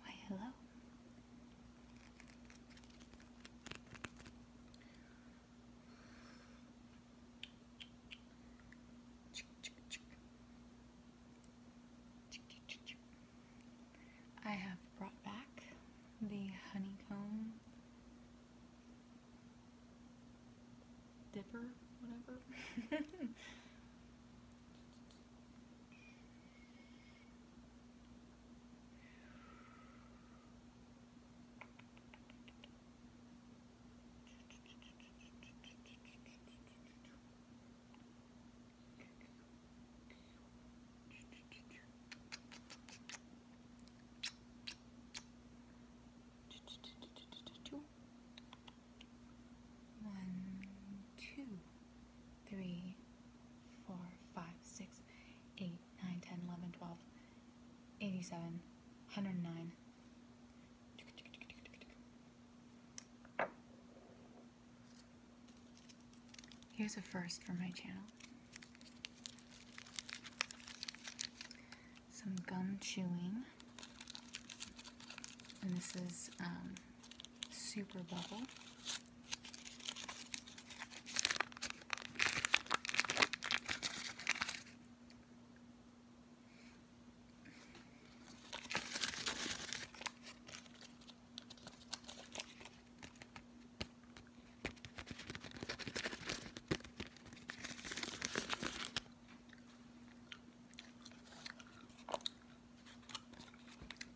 Why, hello. I have brought back the honeycomb Dipper, whatever. One, two, three, four, five, six, eight, nine, ten, eleven, twelve, eighty-seven, hundred nine. Here's a first for my channel some gum chewing. And this is um, Super Bubble.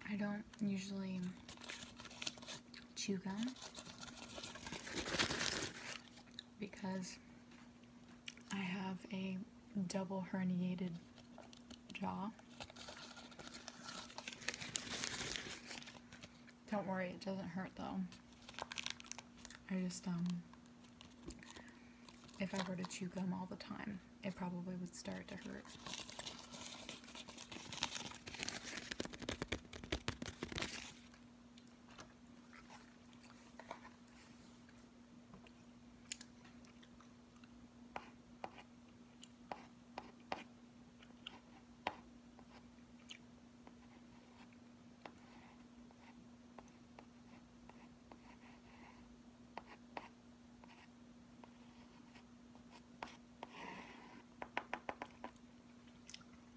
I don't usually chew gum because I have a double herniated jaw. Don't worry, it doesn't hurt though. I just, um, if I were to chew gum all the time, it probably would start to hurt.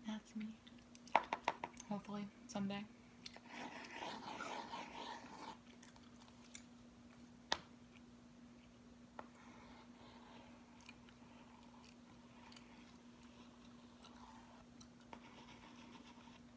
That's me. Hopefully, someday.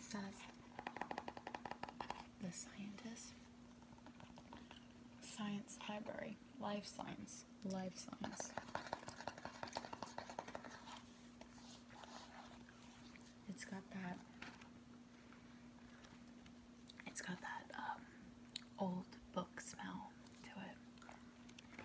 Says the scientist. Science Library. Life Science. Life Science. It's got that. It's got that um, old book smell to it.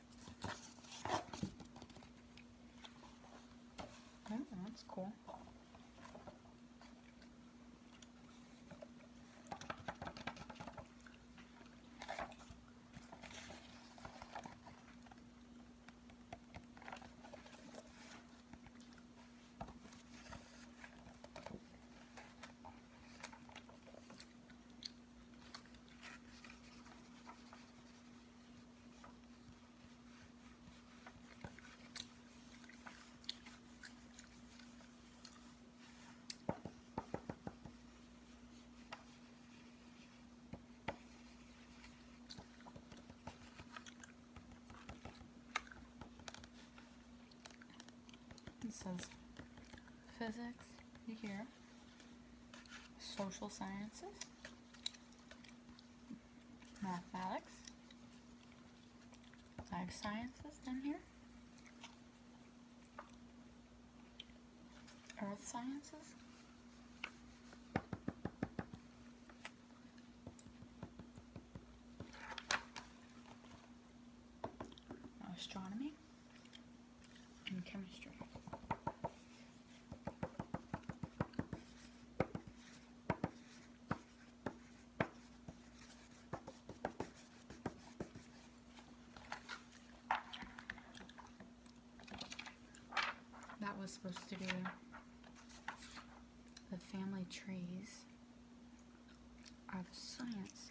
that's cool. It says physics here social sciences, mathematics, life sciences down here, earth sciences, astronomy and chemistry. That was supposed to be the family trees are the science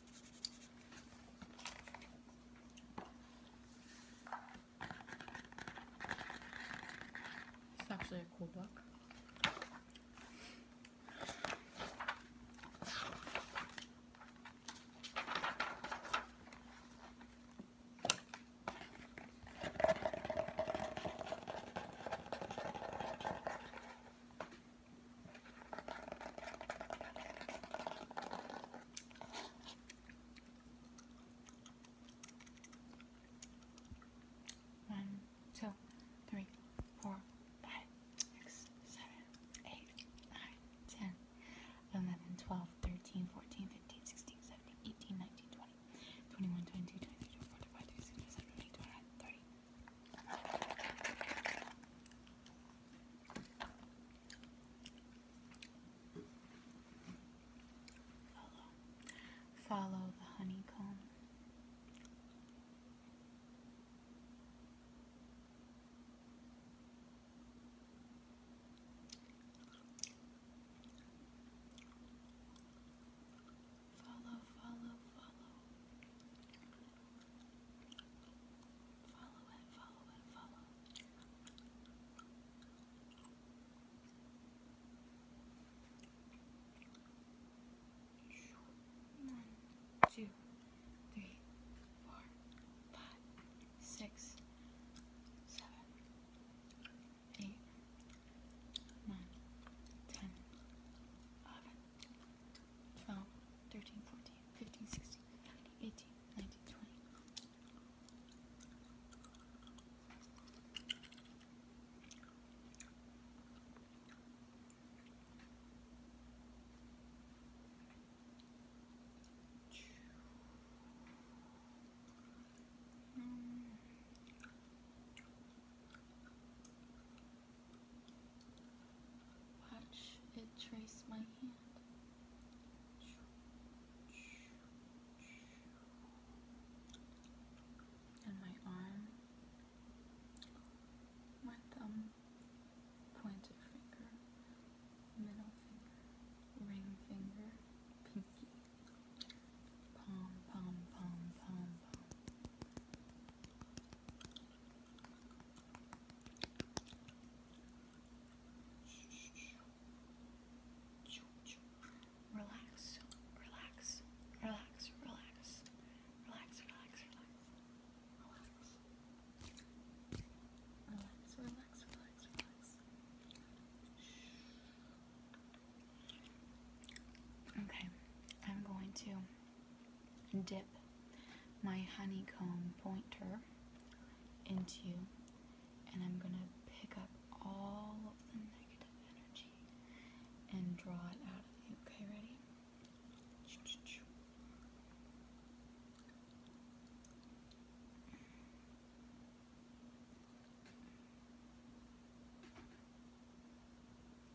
It's actually a cool book. One, two, three, four, five, six, seven, eight, nine, ten, eleven, twelve, thirteen, fourteen, fifteen, sixteen, seventeen, eighteen, nineteen, twenty, twenty-one, twenty-two, twenty-three, twenty-four, twenty-five, twenty-six, twenty-seven, twenty-eight, twenty-nine, thirty. Follow, follow the honeycomb. Follow, follow, follow. Follow it, follow it, follow it. One, two, three, four, five, six, seven, eight, nine, ten, eleven, twelve, thirteen, fourteen. 15, 16, 18, 19, 20. Watch it trace my hand. And my arm, thumb, pointer finger, middle finger, ring finger, pinky, palm, palm, palm, palm. Relax, relax, relax, relax, relax, relax, relax, relax. Relax, relax, relax, relax. Okay, I'm going to dip my honeycomb pointer into and I'm going to pick up all of the negative energy and draw it out of you. Okay, ready?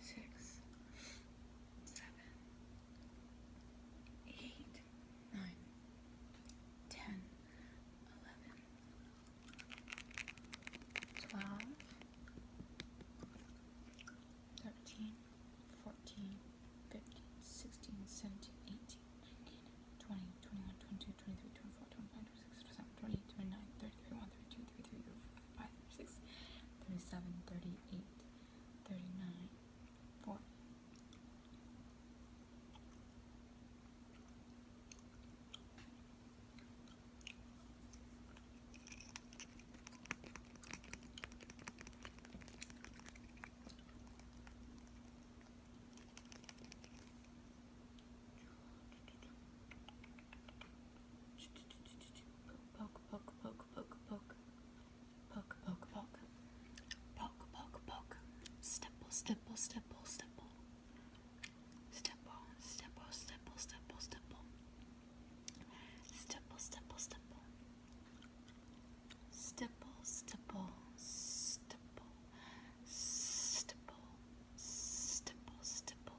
six, seven, eight, nine, ten, eleven, twelve, thirteen, fourteen, fifteen, sixteen, seventeen, eighteen, nineteen, twenty, twenty-one, twenty-two, twenty-three, twenty-four, twenty-five, twenty-six, twenty-seven, twenty-eight, twenty-nine, thirty, thirty-one, thirty-two, thirty-three, thirty-four. 35, 36, 37, 38, 39, 40. Poke, poke, poke, poke, poke. Poke, poke, poke. Poke, poke, poke. Stipple, stipple, stipple, stipple. Stipple, stipple, stipple, stipple, stipple. Stipple, stipple, stipple. Stipple, stipple, stipple. Stipple, stipple, stipple.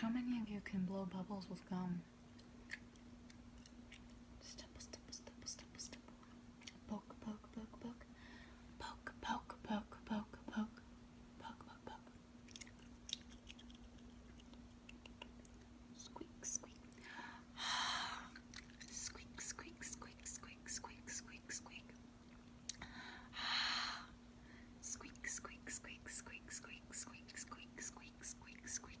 How many of you can blow bubbles with gum? Poke, poke, poke, poke. Poke, poke, poke, poke, poke. Pug, pug, pug. Squeak, squeak. squeak, squeak, squeak, squeak, squeak, squeak, squeak. squeak, squeak, squeak, squeak, squeak, squeak, squeak, squeak, squeak, squeak.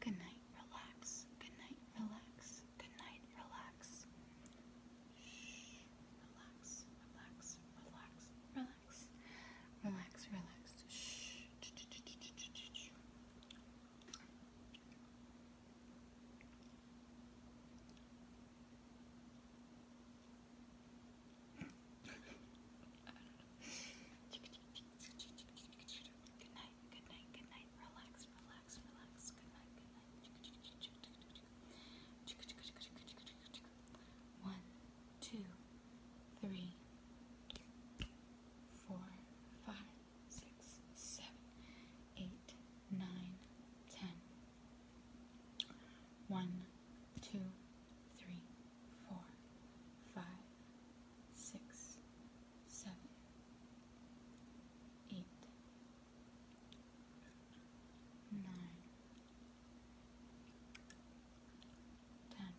Good night, relax. Good night, relax. Good night, relax. Shh. Relax, relax, relax, relax. Relax, relax. Shh. Good night, good night, good night. Relax, relax, relax. Good night, good night. One, two, three, four, five, six, seven, eight, nine, ten. One, two, three, four, five, six, seven, eight, nine, ten,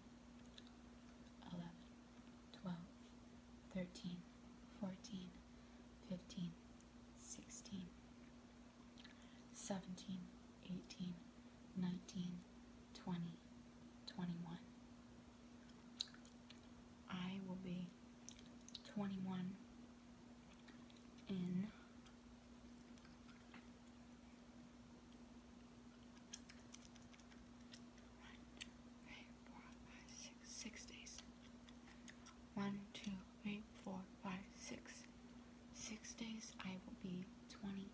eleven, twelve, thirteen, fourteen, fifteen, sixteen, seventeen, eighteen, nineteen, twenty, twenty-one. I will be 21 in six days. One, two, three, four, five, six. Six days I will be 20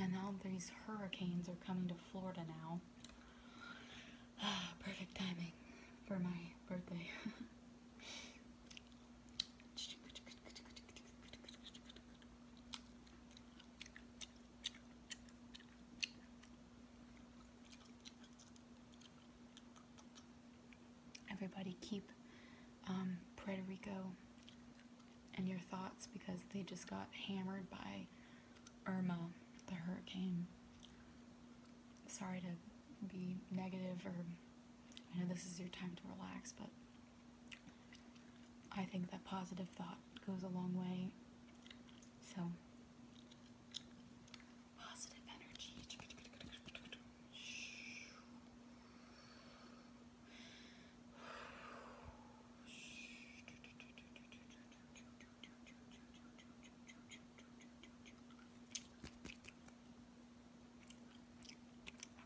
and all these hurricanes are coming to Florida now. perfect timing for my birthday. everybody keep um, Puerto Rico and your thoughts because they just got hammered by Irma, the hurricane. Sorry to be negative, or I know this is your time to relax, but I think that positive thought goes a long way. So, positive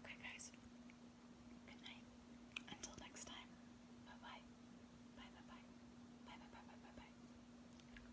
Okay, guys. Good night. Until next time. Bye bye. Bye bye bye. Bye bye bye bye bye bye.